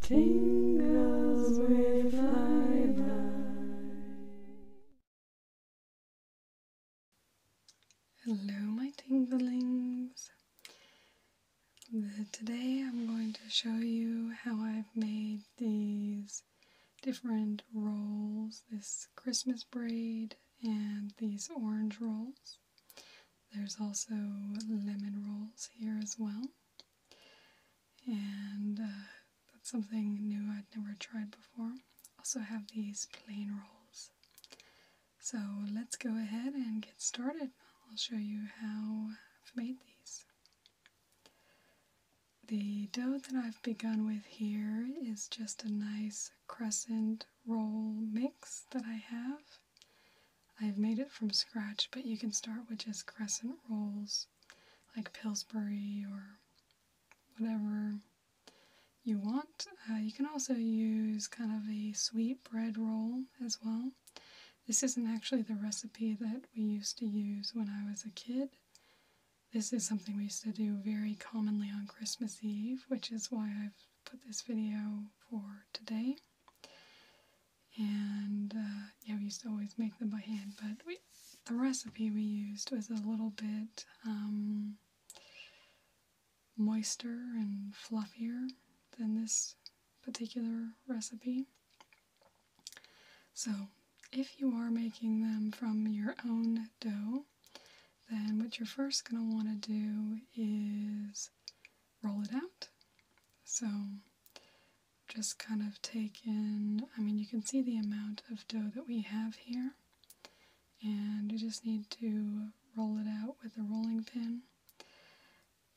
Tingles with Hello, my tinglings. Today I'm going to show you how I've made these different rolls this Christmas braid and these orange rolls. There's also lemon rolls here as well. And uh, that's something new I'd never tried before. Also have these plain rolls. So let's go ahead and get started. I'll show you how I've made these. The dough that I've begun with here is just a nice crescent roll mix that I have. I've made it from scratch, but you can start with just crescent rolls like Pillsbury or whatever you want. Uh, you can also use kind of a sweet bread roll as well. This isn't actually the recipe that we used to use when I was a kid. This is something we used to do very commonly on Christmas Eve, which is why I've put this video for today and uh, yeah, we used to always make them by hand, but the recipe we used was a little bit um, moister and fluffier than this particular recipe. So, if you are making them from your own dough, then what you're first going to want to do is roll it out. So just kind of take in, I mean, you can see the amount of dough that we have here, and you just need to roll it out with a rolling pin.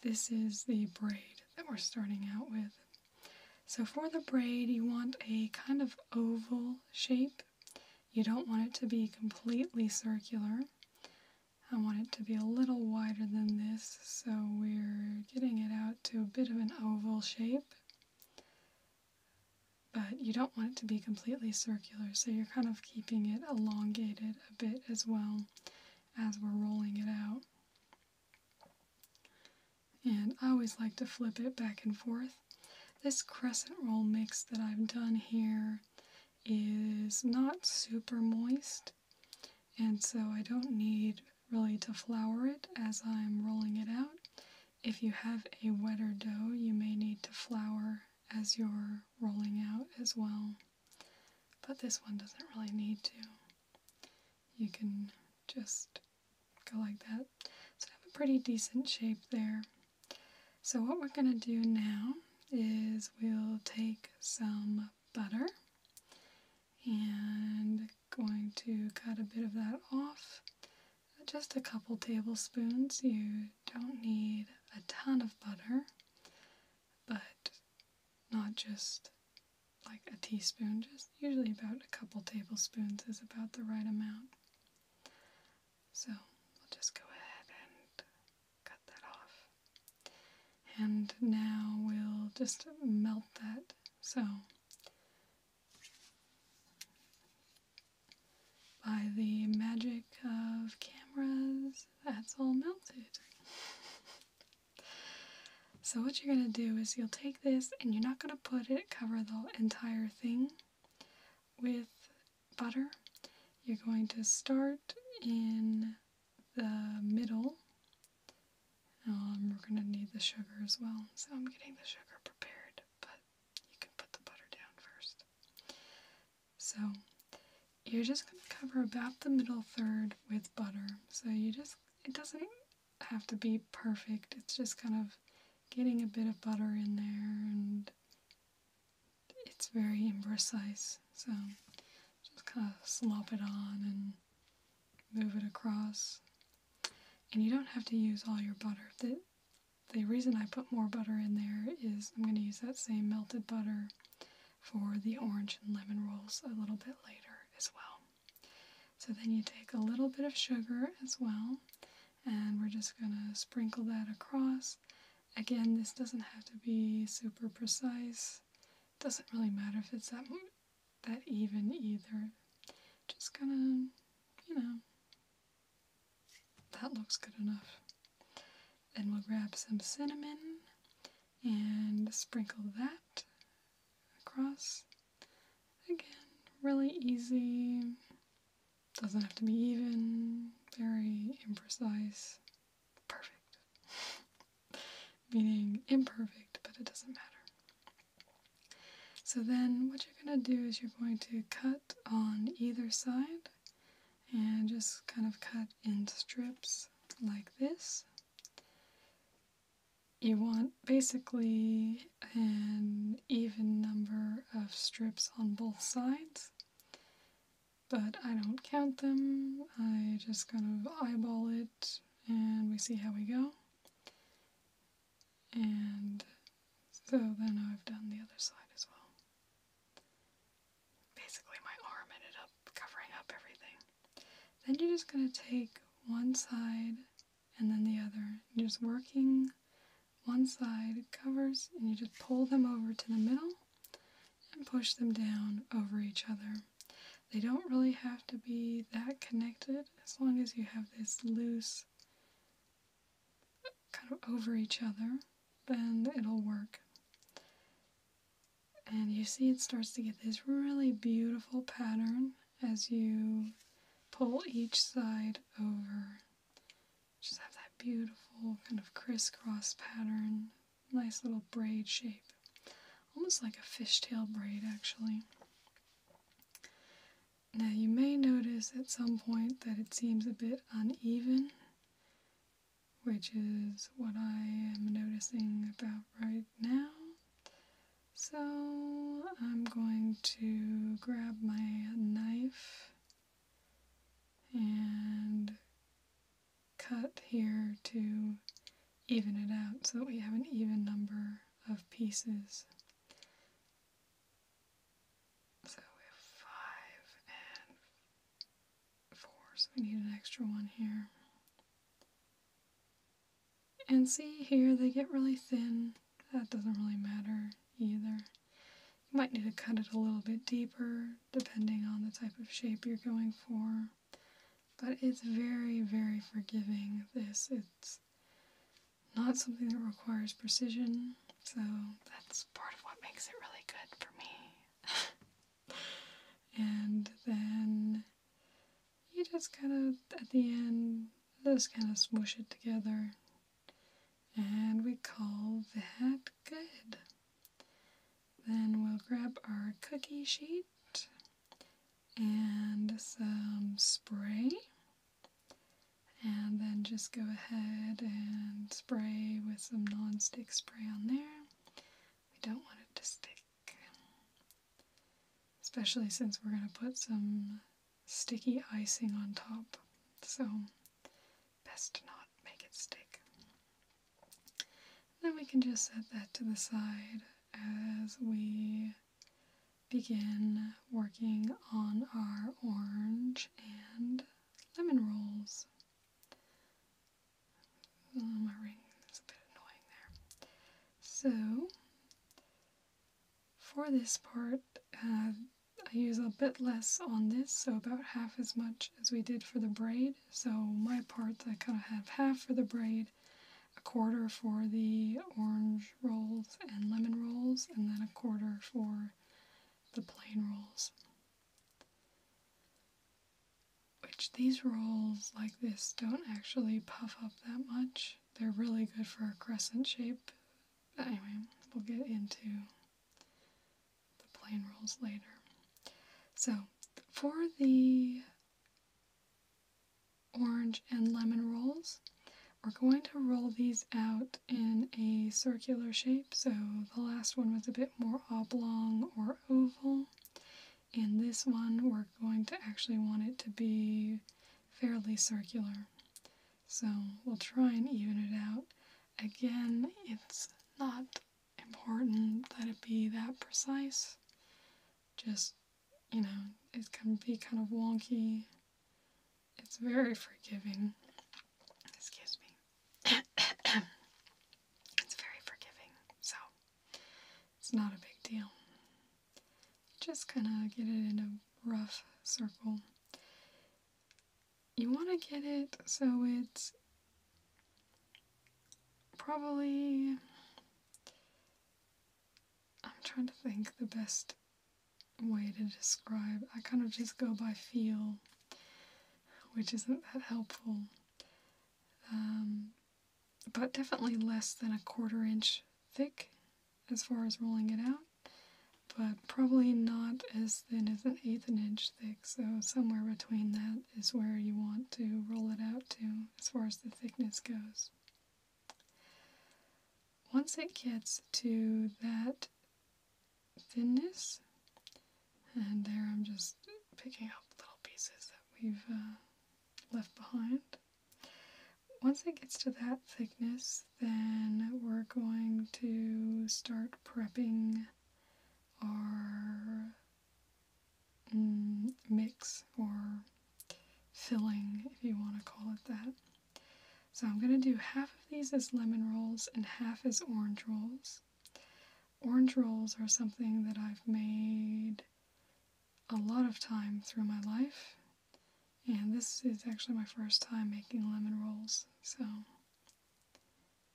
This is the braid that we're starting out with. So for the braid, you want a kind of oval shape. You don't want it to be completely circular. I want it to be a little wider than this, so we're getting it out to a bit of an oval shape. But you don't want it to be completely circular, so you're kind of keeping it elongated a bit as well as we're rolling it out. And I always like to flip it back and forth. This crescent roll mix that I've done here is not super moist, and so I don't need really to flour it as I'm rolling it out. If you have a wetter dough, you may need to flour as you're rolling out as well, but this one doesn't really need to. You can just go like that. So I have a pretty decent shape there. So what we're going to do now is we'll take some butter and going to cut a bit of that off. Just a couple tablespoons. You don't need a ton of butter, but not just like a teaspoon, just usually about a couple tablespoons is about the right amount. So we will just go ahead and cut that off. And now we'll just melt that. So by the magic of cameras, that's all melted. so what you're going to do is you'll take this and you're not going to put it cover the entire thing with butter. You're going to start in the middle. Um, we're going to need the sugar as well, so I'm getting the sugar prepared, but you can put the butter down first. So you're just going to cover about the middle third with butter. So you just, it doesn't have to be perfect, it's just kind of getting a bit of butter in there and it's very imprecise. So just kind of slop it on and move it across. And you don't have to use all your butter. The, the reason I put more butter in there is I'm going to use that same melted butter for the orange and lemon rolls a little bit later as well. So then you take a little bit of sugar as well and we're just going to sprinkle that across. Again, this doesn't have to be super precise. Doesn't really matter if it's that that even either. Just gonna, you know, that looks good enough. Then we'll grab some cinnamon and sprinkle that across. Again, really easy. Doesn't have to be even, very imprecise perfect. Meaning imperfect, but it doesn't matter. So then what you're going to do is you're going to cut on either side and just kind of cut in strips like this. You want basically an even number of strips on both sides but I don't count them. I just kind of eyeball it and we see how we go. And so then I've done the other side as well. Basically my arm ended up covering up everything. Then you're just going to take one side and then the other. just working one side covers and you just pull them over to the middle and push them down over each other. They don't really have to be that connected as long as you have this loose kind of over each other, then it'll work. And you see it starts to get this really beautiful pattern as you pull each side over. Just have that beautiful kind of crisscross pattern nice little braid shape. Almost like a fishtail braid, actually. Now, you may notice at some point that it seems a bit uneven, which is what I am noticing about right now. So, I'm going to grab my knife and cut here to even it out so that we have an even number of pieces. So we have five and four, so we need an extra one here. And see here, they get really thin. That doesn't really matter either. You might need to cut it a little bit deeper depending on the type of shape you're going for. But it's very, very forgiving. This it's not something that requires precision, so that's part of what makes it really good for me. and then you just kind of at the end just kind of smoosh it together, and we call that good. Then we'll grab our cookie sheet and some spray. And then just go ahead and spray with some non-stick spray on there. We don't want it to stick. Especially since we're going to put some sticky icing on top. So best not make it stick then we can just set that to the side as we begin working on our orange and lemon rolls. my ring is a bit annoying there. So, for this part, uh, I use a bit less on this, so about half as much as we did for the braid. So my parts, I kind of have half for the braid, a quarter for the orange rolls and lemon rolls, and then a quarter for the plain rolls. Which these rolls like this don't actually puff up that much. They're really good for a crescent shape. But anyway, we'll get into the plain rolls later. So for the orange and lemon rolls, we're going to roll these out in a circular shape. So the last one was a bit more oblong or oval. and this one, we're going to actually want it to be fairly circular. So we'll try and even it out. Again, it's not important that it be that precise. Just, you know, it can be kind of wonky. It's very forgiving. Excuse me. it's very forgiving, so it's not a big deal. Just kind of get it in a rough circle. You want to get it so it's probably I'm trying to think the best way to describe. I kind of just go by feel, which isn't that helpful. Um, but definitely less than a quarter inch thick as far as rolling it out, but probably not as thin as an eighth an inch thick so somewhere between that is where you want to roll it out to as far as the thickness goes. Once it gets to that thinness, and there I'm just picking up little pieces that we've uh, left behind. Once it gets to that thickness, then we're going to start prepping our Mm, mix or filling, if you want to call it that. So I'm going to do half of these as lemon rolls and half as orange rolls. Orange rolls are something that I've made a lot of time through my life. And this is actually my first time making lemon rolls, so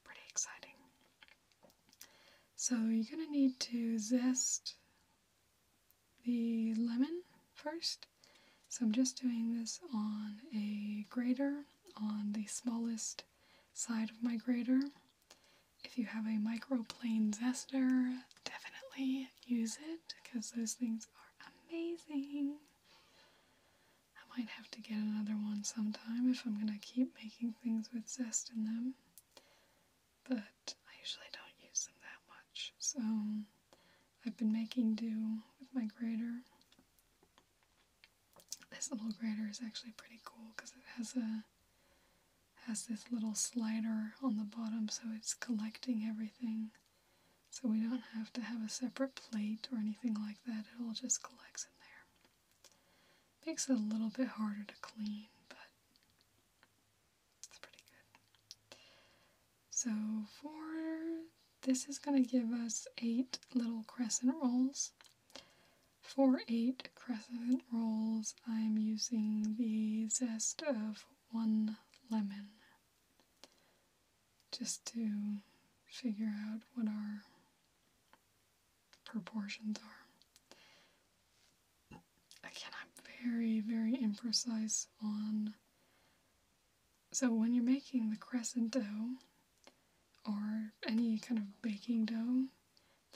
pretty exciting. So you're going to need to zest the lemon first. So I'm just doing this on a grater, on the smallest side of my grater. If you have a microplane zester, definitely use it because those things are amazing. I might have to get another one sometime if I'm going to keep making things with zest in them but I usually don't use them that much, so I've been making do with my grater. This little grater is actually pretty cool because it has a has this little slider on the bottom so it's collecting everything. So we don't have to have a separate plate or anything like that. It all just collects in there. Makes it a little bit harder to clean, but it's pretty good. So for this is going to give us eight little crescent rolls. For eight crescent rolls, I'm using the zest of one lemon just to figure out what our proportions are. Again, I'm very, very imprecise on. So, when you're making the crescent dough or any kind of baking dough,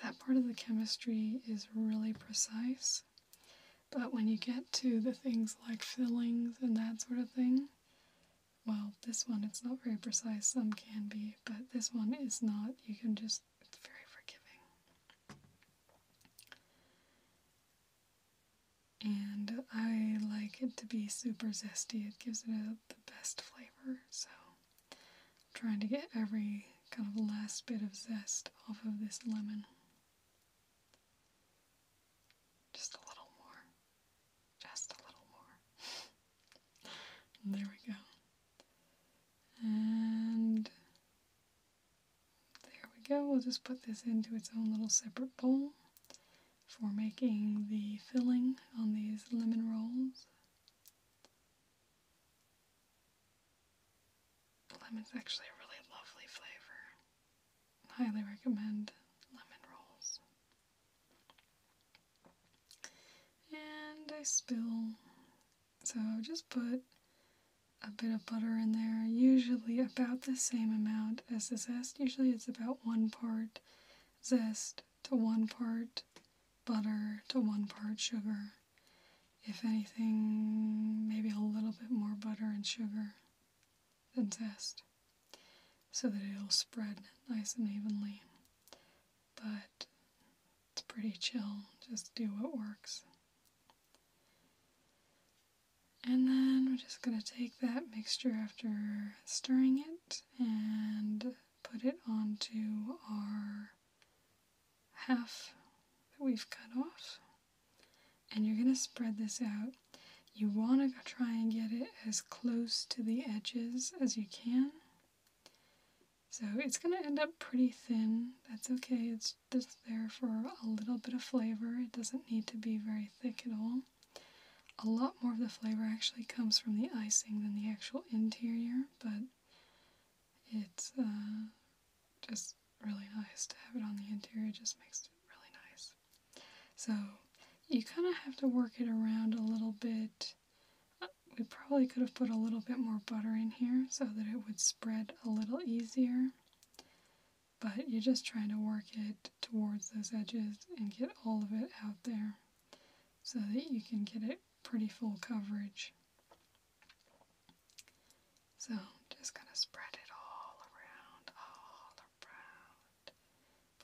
that part of the chemistry is really precise. But when you get to the things like fillings and that sort of thing, well, this one it's not very precise, some can be, but this one is not. You can just it's very forgiving. And I like it to be super zesty. It gives it the best flavor. So trying to get every kind of last bit of zest off of this lemon. Just a little more. Just a little more. There we go. And there we go. We'll just put this into its own little separate bowl for making the filling on these lemon rolls. Lemon's actually a really lovely flavor. Highly recommend lemon rolls. And I spill so just put a bit of butter in there, usually about the same amount as the zest. Usually it's about one part zest to one part butter to one part sugar. If anything, maybe a little bit more butter and sugar than zest so that it'll spread nice and evenly. But it's pretty chill, just do what works. And then we're just going to take that mixture after stirring it and put it onto our half that we've cut off. And you're going to spread this out. You want to try and get it as close to the edges as you can. So it's going to end up pretty thin. That's okay. It's just there for a little bit of flavor. It doesn't need to be very thick at all. A lot more of the flavor actually comes from the icing than the actual interior, but it's uh, just really nice to have it on the interior. just makes it really nice. So you kind of have to work it around a little bit we probably could have put a little bit more butter in here so that it would spread a little easier. But you're just trying to work it towards those edges and get all of it out there so that you can get it pretty full coverage. So just going to spread it all around, all around,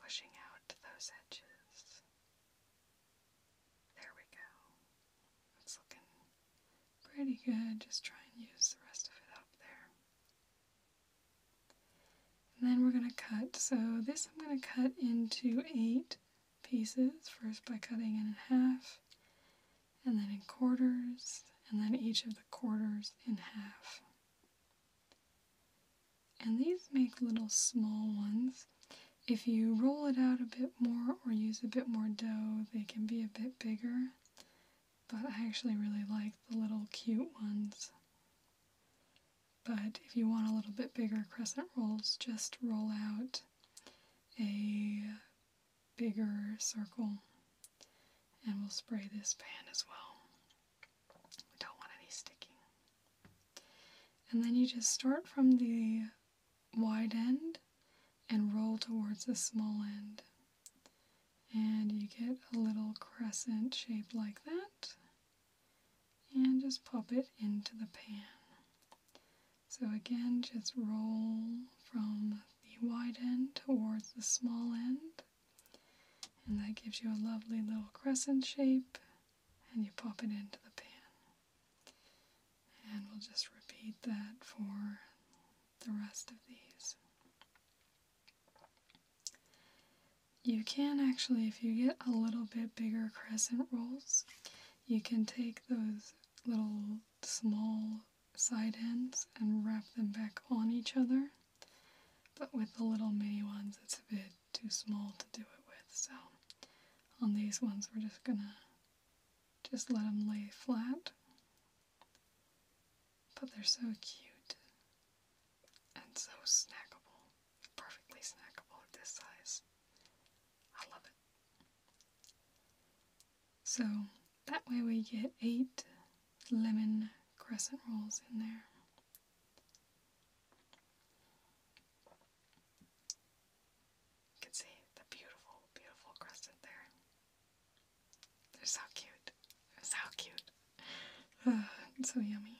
pushing out those edges. There we go. It's looking pretty good. Just try and use the rest of it up there. then we're going to cut. So this I'm going to cut into eight pieces, first by cutting it in half, and then in quarters, and then each of the quarters in half. And these make little small ones, if you roll it out a bit more or use a bit more dough, they can be a bit bigger, but I actually really like the little cute ones. But if you want a little bit bigger crescent rolls, just roll out a bigger circle and we'll spray this pan as well. We don't want any sticking. And then you just start from the wide end and roll towards the small end. And you get a little crescent shape like that. And just pop it into the pan. So again, just roll from the wide end towards the small end. And that gives you a lovely little crescent shape. And you pop it into the pan. And we'll just repeat that for the rest of these. You can actually, if you get a little bit bigger crescent rolls, you can take those little small side ends and wrap them back on each other. But with the little mini ones, it's a bit too small to do it with. So on these ones, we're just gonna just let them lay flat. But they're so cute and so snackable, perfectly snackable at this size. I love it. So that way we get eight lemon crescent rolls in there. You can see the beautiful, beautiful crescent there. They're so cute. so cute. so yummy.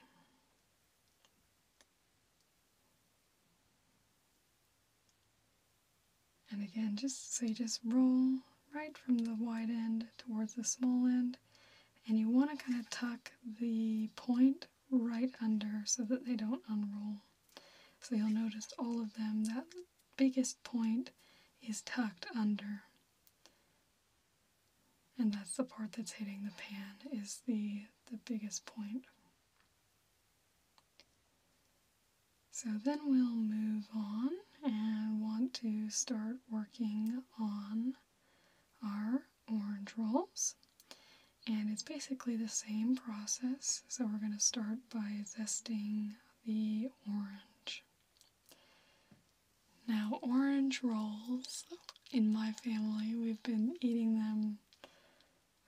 And again, just so you just roll right from the wide end towards the small end, and you want to kind of tuck the point right under so that they don't unroll. So you'll notice all of them, that biggest point is tucked under. And that's the part that's hitting the pan, is the, the biggest point. So then we'll move on and want to start working on our orange rolls. And it's basically the same process. So we're going to start by zesting the orange. Now, orange rolls, in my family, we've been eating them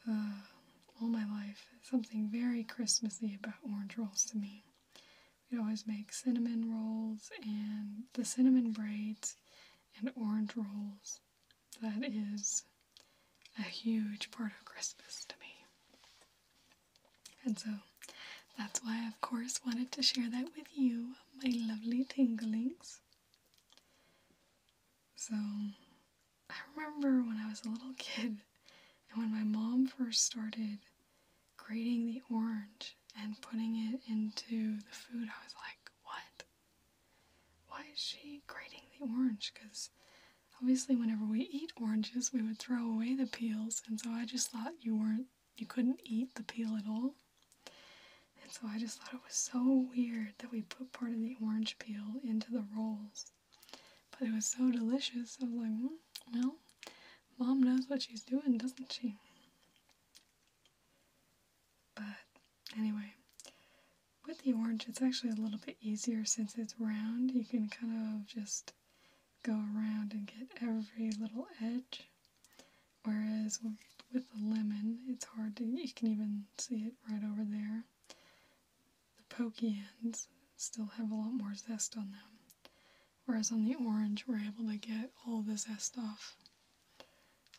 uh, all my life. something very Christmassy about orange rolls to me. we always make cinnamon rolls and the cinnamon braids and orange rolls. That is a huge part of Christmas to me. And so that's why I, of course, wanted to share that with you, my lovely tinglings. So I remember when I was a little kid and when my mom first started grating the orange and putting it into the food, I was like, what? Why is she grating the orange? Because obviously, whenever we eat oranges, we would throw away the peels, and so I just thought you weren't, you couldn't eat the peel at all. And so I just thought it was so weird that we put part of the orange peel into the rolls. But it was so delicious. I was like, mm, well, mom knows what she's doing, doesn't she? But anyway, with the orange, it's actually a little bit easier since it's round. You can kind of just go around and get every little edge. Whereas with the lemon, it's hard to, you can even see it right over there. The pokey ends still have a lot more zest on them. Whereas on the orange, we're able to get all the zest off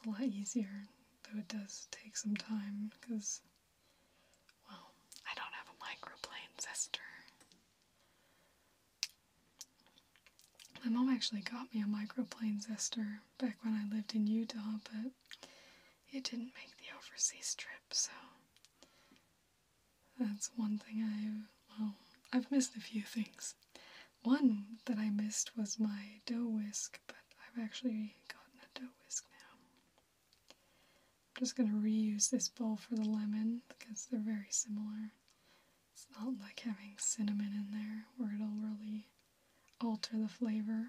a lot easier, though it does take some time because well, I don't have a microplane sister. My mom actually got me a microplane zester back when I lived in Utah, but it didn't make the overseas trip, so that's one thing I well, I've missed a few things. One that I missed was my dough whisk, but I've actually gotten a dough whisk now. I'm just going to reuse this bowl for the lemon because they're very similar. It's not like having cinnamon in there where it'll really alter the flavor.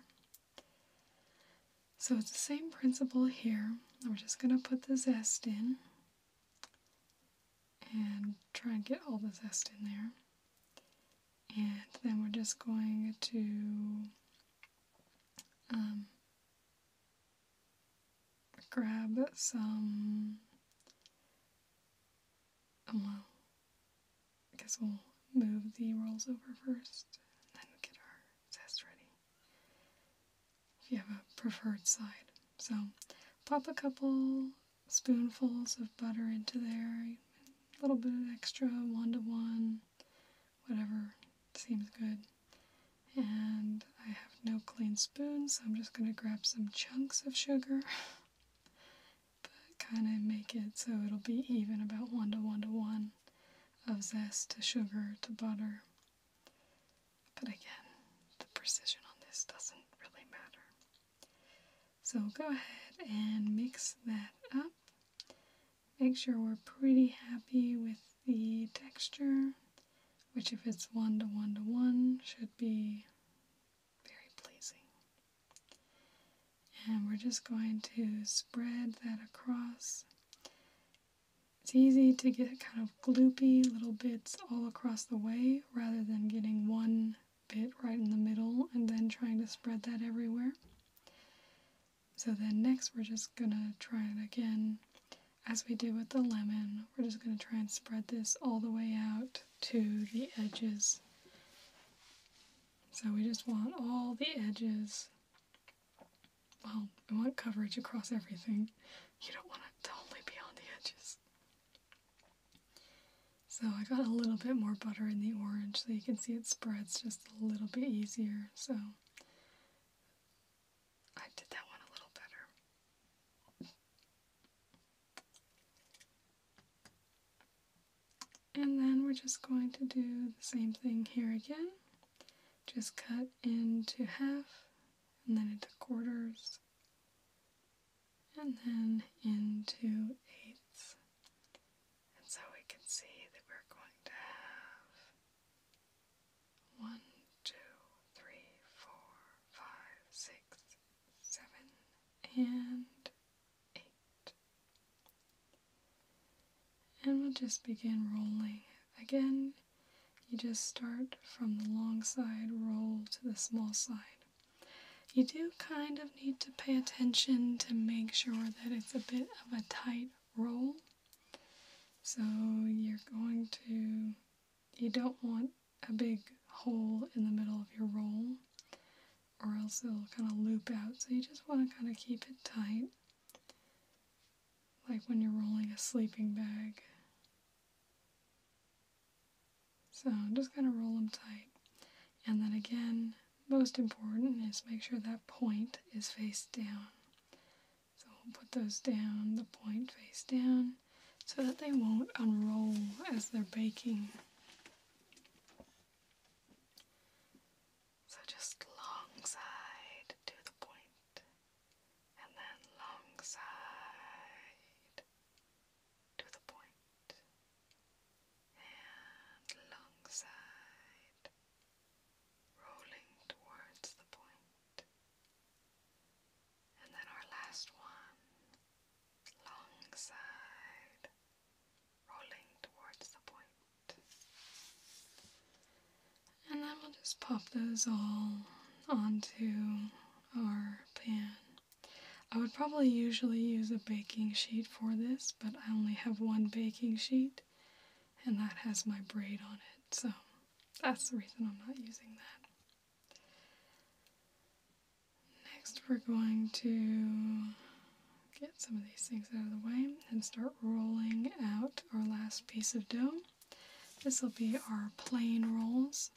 So it's the same principle here. We're just going to put the zest in and try and get all the zest in there. And then we're just going to um, grab some. Um, well, I guess we'll move the rolls over first then get our test ready. If you have a preferred side. So pop a couple spoonfuls of butter into there, a little bit of extra one to one, whatever seems good. And I have no clean spoon, so I'm just going to grab some chunks of sugar, but kind of make it so it'll be even about 1 to 1 to 1 of zest to sugar to butter. But again, the precision on this doesn't really matter. So go ahead and mix that up. Make sure we're pretty happy with the texture, which if it's one to one to one should be very pleasing. And we're just going to spread that across. It's easy to get kind of gloopy little bits all across the way rather than getting one bit right in the middle and then trying to spread that everywhere. So then next we're just gonna try it again as we did with the lemon. We're just gonna try and spread this all the way out to the edges. So we just want all the edges. Well, we want coverage across everything. You don't want it to only be on the edges. So I got a little bit more butter in the orange so you can see it spreads just a little bit easier. So I did that one a little better. And then we're just going to do the same thing here again. Just cut into half, and then into quarters, and then into eighths. And so we can see that we're going to have one, two, three, four, five, six, seven, and eight. And we'll just begin rolling. Again, you just start from the long side, roll to the small side. You do kind of need to pay attention to make sure that it's a bit of a tight roll. So you're going to, you don't want a big hole in the middle of your roll or else it'll kind of loop out. So you just want to kind of keep it tight, like when you're rolling a sleeping bag. So just kind of roll them tight. And then again, most important is make sure that point is face down. So we'll put those down, the point face down, so that they won't unroll as they're baking. So just long side to the point, and then long side to the point, and long side rolling towards the And then our last one, long side, rolling towards the And then we'll just pop those all onto our pan. I would probably usually use a baking sheet for this, but I only have one baking sheet and that has my braid on it, so that's the reason I'm not using that. Next, we're going to get some of these things out of the way and start rolling out our last piece of dough. This will be our plain rolls.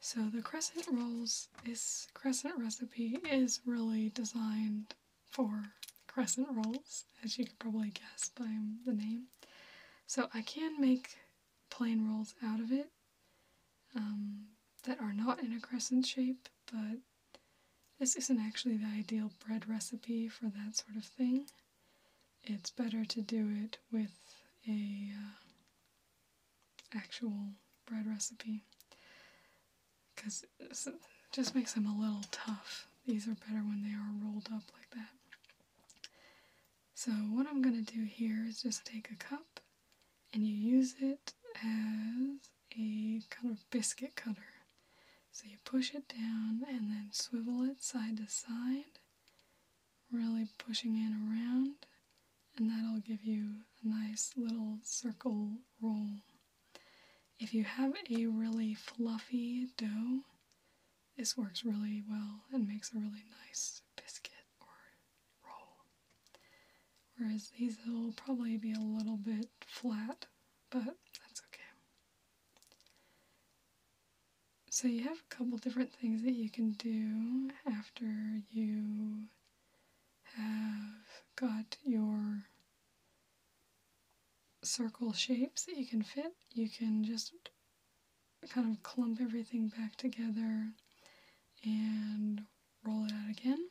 So the crescent rolls, this crescent recipe is really designed for crescent rolls, as you could probably guess by the name. So I can make plain rolls out of it um, that are not in a crescent shape, but this isn't actually the ideal bread recipe for that sort of thing. It's better to do it with a uh, actual bread recipe because it just makes them a little tough. These are better when they are rolled up like that. So what I'm going to do here is just take a cup and you use it as a kind of biscuit cutter. So you push it down and then swivel it side to side, really pushing it around, and that'll give you a nice little circle roll. If you have a really fluffy dough, this works really well and makes a really nice biscuit or roll. Whereas these will probably be a little bit flat, but that's okay. So you have a couple different things that you can do after you have got your circle shapes that you can fit. You can just kind of clump everything back together and roll it out again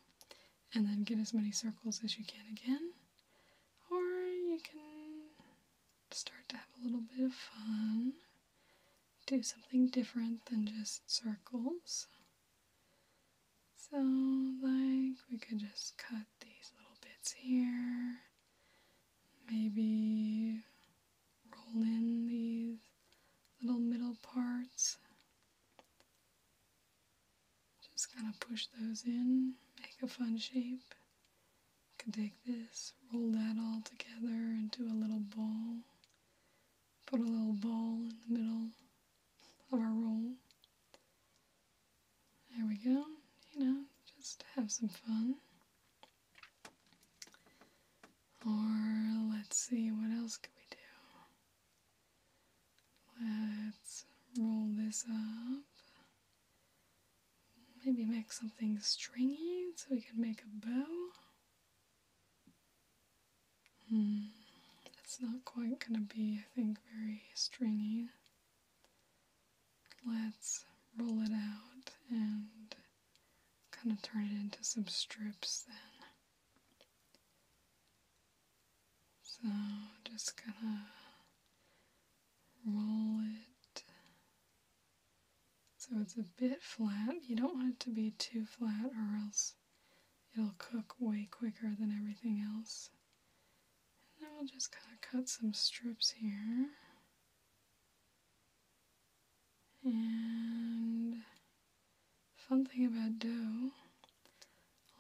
and then get as many circles as you can again. Or you can start to have a little bit of fun. Do something different than just circles. So, like, we could just cut these little bits here, maybe roll in these little middle parts. Just kind of push those in, make a fun shape. Could take this, roll that all together into a little ball, put a little ball in the middle of our roll. There we go. You know, just have some fun. Or let's see, what else could we do? Let's roll this up. Maybe make something stringy so we can make a bow. Hmm, that's not quite gonna be, I think, very stringy let's roll it out and kind of turn it into some strips then. So just gonna roll it so it's a bit flat. You don't want it to be too flat or else it'll cook way quicker than everything else. And then we'll just cut some strips here. And fun thing about dough,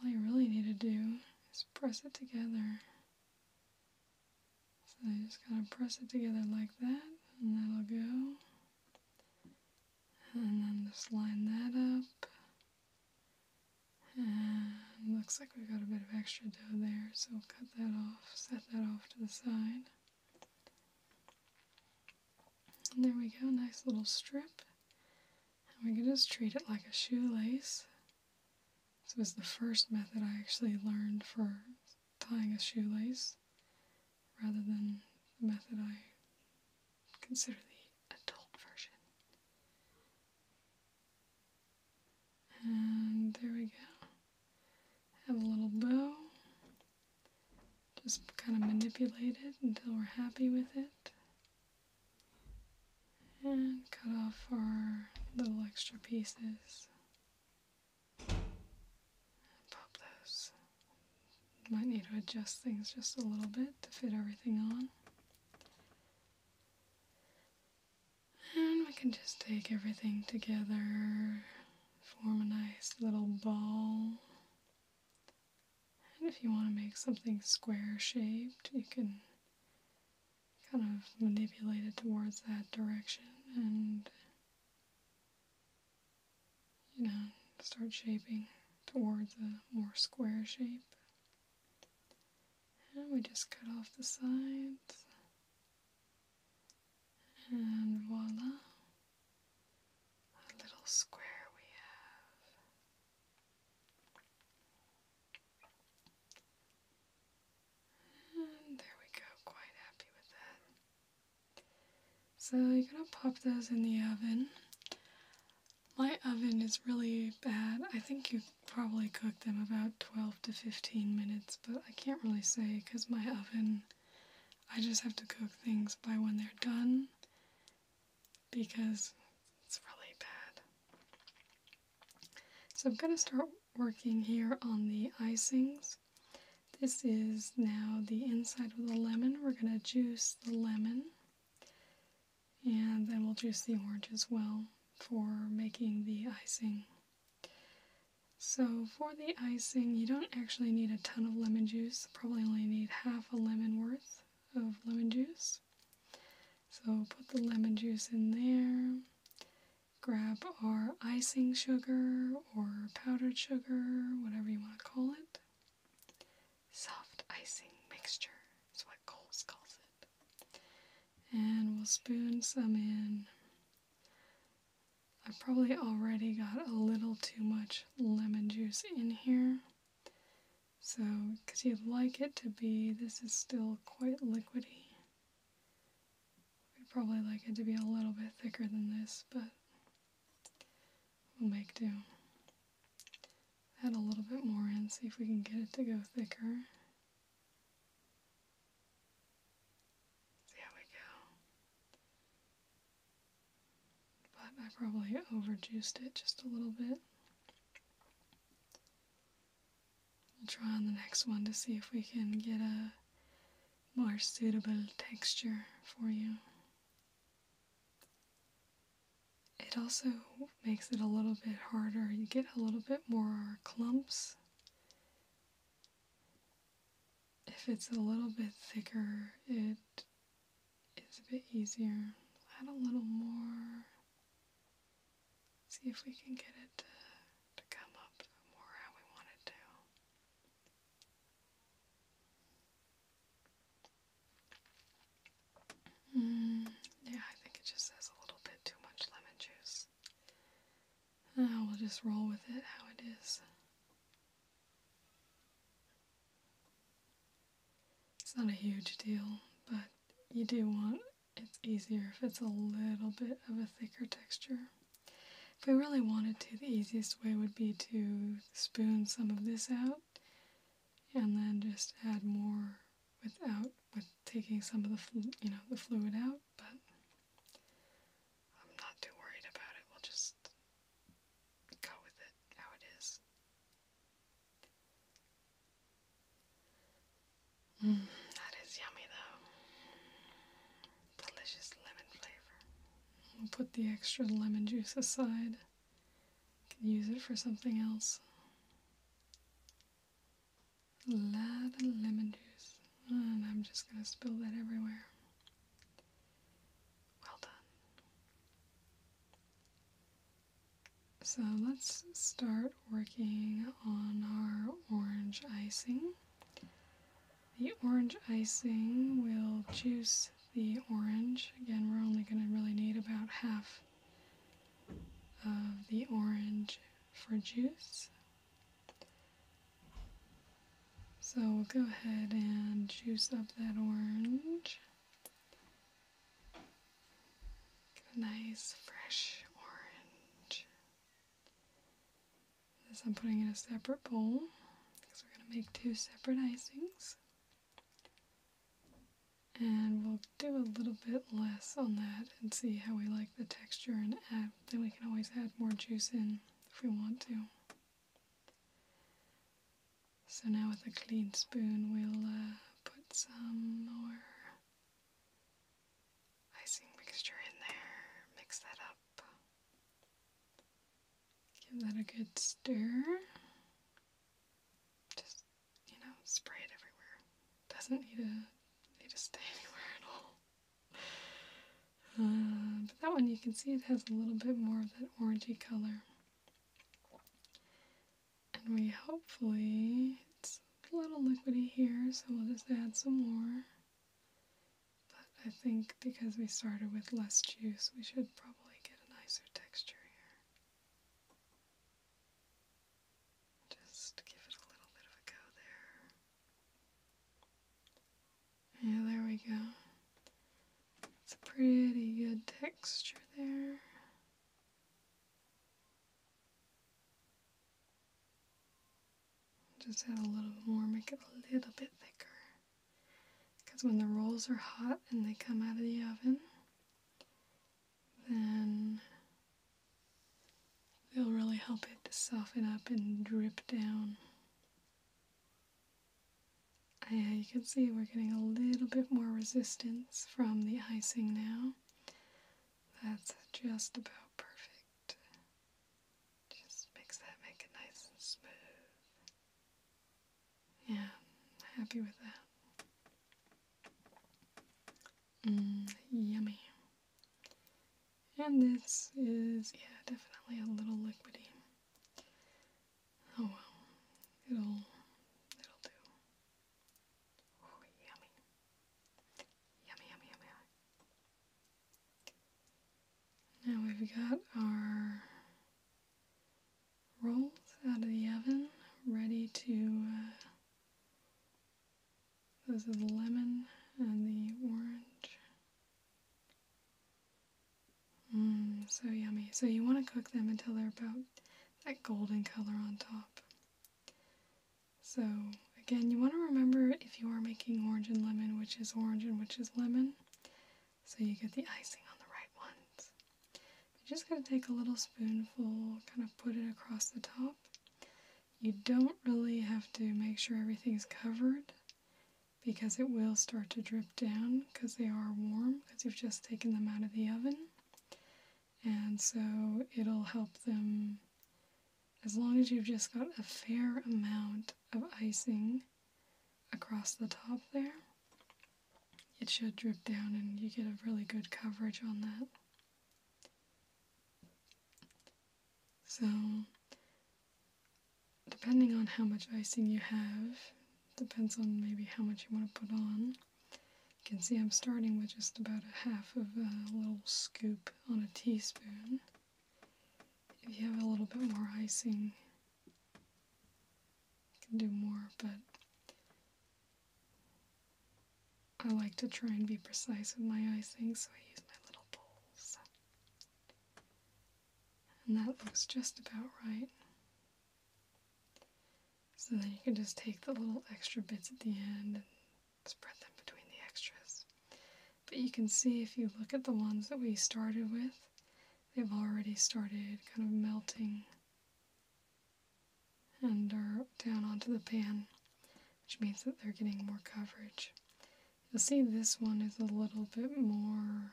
all you really need to do is press it together. So I just kind of press it together like that, and that'll go. And then just line that up. And looks like we've got a bit of extra dough there, so cut that off, set that off to the side. And there we go, nice little strip. And we can just treat it like a shoelace. This was the first method I actually learned for tying a shoelace, rather than the method I consider the adult version. And there we go. Have a little bow. Just kind of manipulate it until we're happy with it. And cut off our little extra pieces. Pop those. Might need to adjust things just a little bit to fit everything on. And we can just take everything together, form a nice little ball. And if you want to make something square shaped, you can kind of manipulate it towards that direction and, you know, start shaping towards a more square shape. And we just cut off the sides. And voila, a little square we have. And there we go, quite happy with that. So you're gonna pop those in the oven. My oven is really bad. I think you probably cook them about 12 to 15 minutes, but I can't really say because my oven, I just have to cook things by when they're done because it's really bad. So I'm going to start working here on the icings. This is now the inside of the lemon. We're going to juice the lemon. And then we'll juice the orange as well for making the icing. So for the icing, you don't actually need a ton of lemon juice. Probably only need half a lemon worth of lemon juice. So put the lemon juice in there. Grab our icing sugar or powdered sugar, whatever you want to call it. Soft icing mixture. That's what Coles calls it. And we'll spoon some in. I probably already got a little too much lemon juice in here. So, because you'd like it to be, this is still quite liquidy. We'd probably like it to be a little bit thicker than this, but we'll make do add a little bit more in, see if we can get it to go thicker. There we go. But I probably overjuiced it just a little bit. We'll try on the next one to see if we can get a more suitable texture for you it also makes it a little bit harder. You get a little bit more clumps if it's a little bit thicker, it is a bit easier. Add a little more. See if we can get it to, come up more how we want to. Mm, yeah, I think it just says a little bit too much lemon juice. Uh, we'll just roll with it how it is. It's not a huge deal, but you do want it's easier if it's a little bit of a thicker texture. If we really wanted to, the easiest way would be to spoon some of this out and then just add more without with taking some of the you know the fluid out, but I'm not too worried about it. We'll just go with it how it is. Mm, that is yummy though. Delicious lemon flavor. We'll put the extra lemon juice aside. Can use it for something else. A lot of lemon juice. And I'm just going to spill that everywhere. Well done. So let's start working on our orange icing. The orange icing will juice the orange. Again, we're only going to really need about half of the orange for juice. So we'll go ahead and juice up that orange. Get a nice fresh orange. This I'm putting in a separate bowl because we're going to make two separate icings and we'll do a little bit less on that and see how we like the texture and add then we can always add more juice in if we want to so now with a clean spoon we'll uh, put some more icing mixture in there mix that up give that a good stir just you know, spray it everywhere. doesn't need to need to stay anywhere at all. Uh, but that one you can see it has a little bit more of that orangey color. And we hopefully, it's a little liquidy here, so we'll just add some more. But I think because we started with less juice, we should probably get a nicer texture here. Just give it a little bit of a go there. Yeah, there we go. It's a pretty good texture there. Just add a little more, make it a little bit thicker. Because when the rolls are hot and they come out of the oven, then it will really help it to soften up and drip down. Yeah, you can see we're getting a little bit more resistance from the icing now. That's just about perfect. Just makes that make it nice and smooth. Yeah, happy with that. Mm, yummy. And this is, yeah, definitely a little liquidy. Oh well, it'll, it'll do. Oh, yummy. Yummy, yummy, yummy. Now we've got our rolls out of the oven, ready to uh, those are the lemon and the orange. Mmm, so yummy. So you want to cook them until they're about that golden color on top. So again, you want to remember if you are making orange and lemon, which is orange and which is lemon, so you get the icing on the right ones. You're just going to take a little spoonful, kind of put it across the top. You don't really have to make sure everything's covered because it will start to drip down because they are warm because you've just taken them out of the oven. And so it'll help them as long as you've just got a fair amount of icing across the top there. It should drip down and you get a really good coverage on that. So, depending on how much icing you have, depends on maybe how much you want to put on. You can see I'm starting with just about a half of a little scoop on a teaspoon. If you have a little bit more icing, you can do more, but I like to try and be precise with my icing, so I use my little bowls. And that looks just about right. So then you can just take the little extra bits at the end and spread them between the extras. But you can see if you look at the ones that we started with, they've already started kind of melting and are down onto the pan, which means that they're getting more coverage. You'll see this one is a little bit more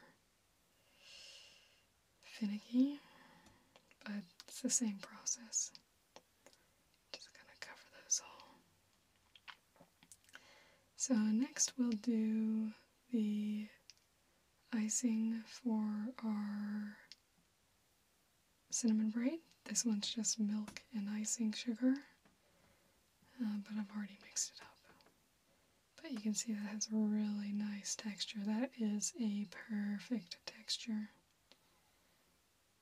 finicky, but it's the same process. Just gonna cover those all. So next we'll do the icing for our cinnamon bread. This one's just milk and icing sugar, uh, but I've already mixed it up. But you can see that has a really nice texture. That is a perfect texture.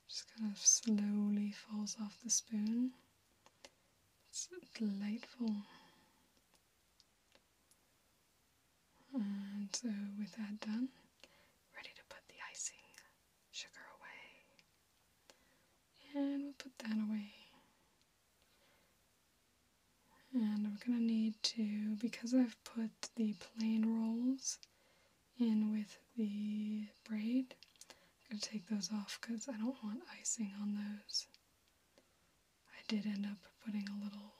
Just kind of slowly falls off the spoon. It's delightful. And so with that done, ready to put the icing sugar away. And we'll put that away. And I'm gonna need to, because I've put the plain rolls in with the braid, I'm gonna take those off because I don't want icing on those. I did end up putting a little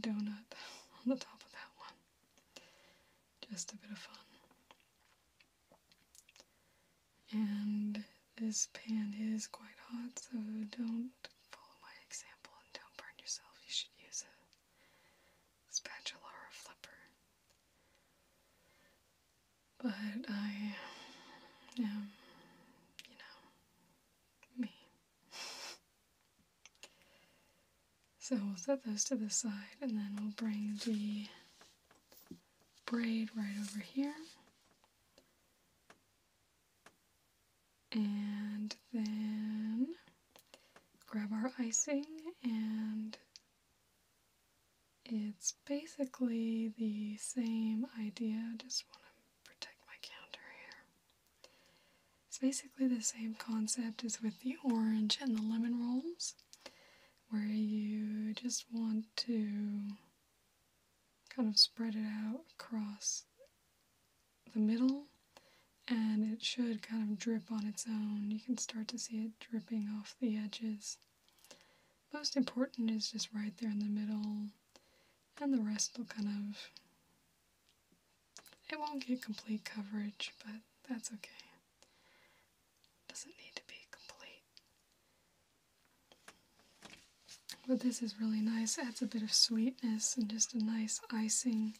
donut on the top of that one. Just a bit of fun. And this pan is quite hot, so don't follow my example and don't burn yourself. You should use a spatula or a flipper. But I am, you know, me. So we'll set those to the side and then we'll bring the braid right over here. And then grab our icing and it's basically the same idea, just want to protect my counter here. It's basically the same concept as with the orange and the lemon rolls, where you just want to kind of spread it out across the middle and it should kind of drip on its own. You can start to see it dripping off the edges. Most important is just right there in the middle and the rest will kind of it won't get complete coverage, but that's okay. Doesn't need to be complete. But this is really nice. Adds a bit of sweetness and just a nice icing,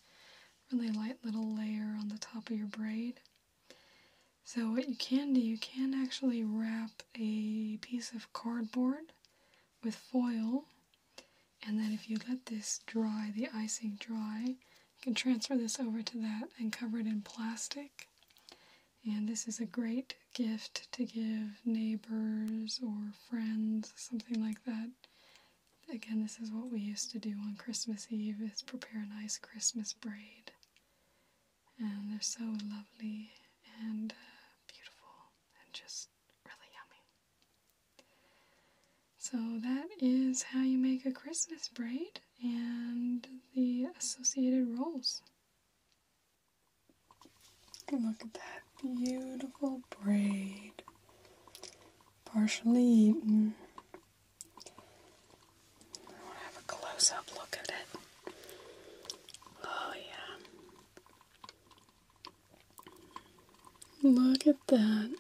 really light little layer on the top of your braid. So what you can do, you can actually wrap a piece of cardboard with foil and then if you let this dry, the icing dry, you can transfer this over to that and cover it in plastic. And this is a great gift to give neighbors or friends, something like that. Again, this is what we used to do on Christmas Eve, is prepare a nice Christmas braid. And they're so lovely and uh, beautiful and just really yummy. So that is how you make a Christmas braid and the associated rolls. look at that beautiful braid. Partially eaten. I want to have a close up look at it. Oh, yeah. Look at that.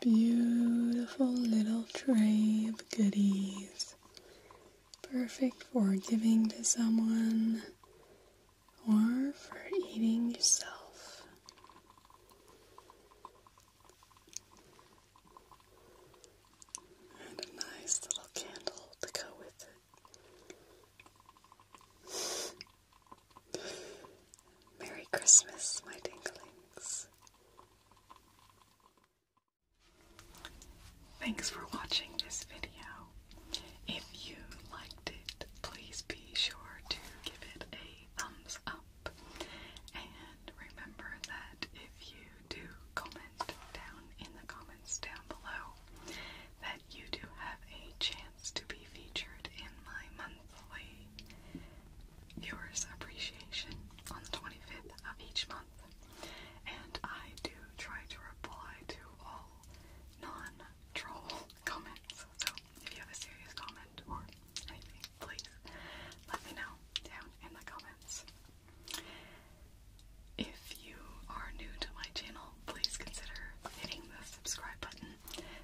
Beautiful little tray of goodies. Perfect for giving to someone or for eating yourself. And a nice little candle to go with it. Merry Christmas, my dinglings. Thanks for watching this video. If you liked it, please be sure to give it a thumbs up. And remember that if you do comment down in the comments down below, that you do have a chance to be featured in my month monthly viewers appreciation on the 25th of each month, and I do try to reply to all non-troll comments. So if you have a serious comment or anything, please let me know down in the comments. If you are new to my channel, please consider hitting the subscribe button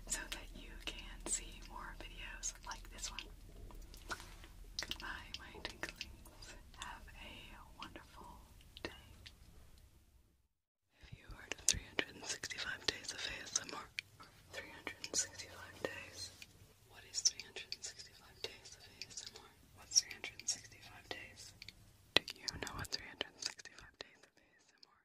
so that you can see more videos like this one. Goodbye, my tinklings. Have a wonderful day. If you heard of 365 days of ASMR, 365 days. What is 365 days of ASMR? What's 365 days? Do you know what 365 days of ASMR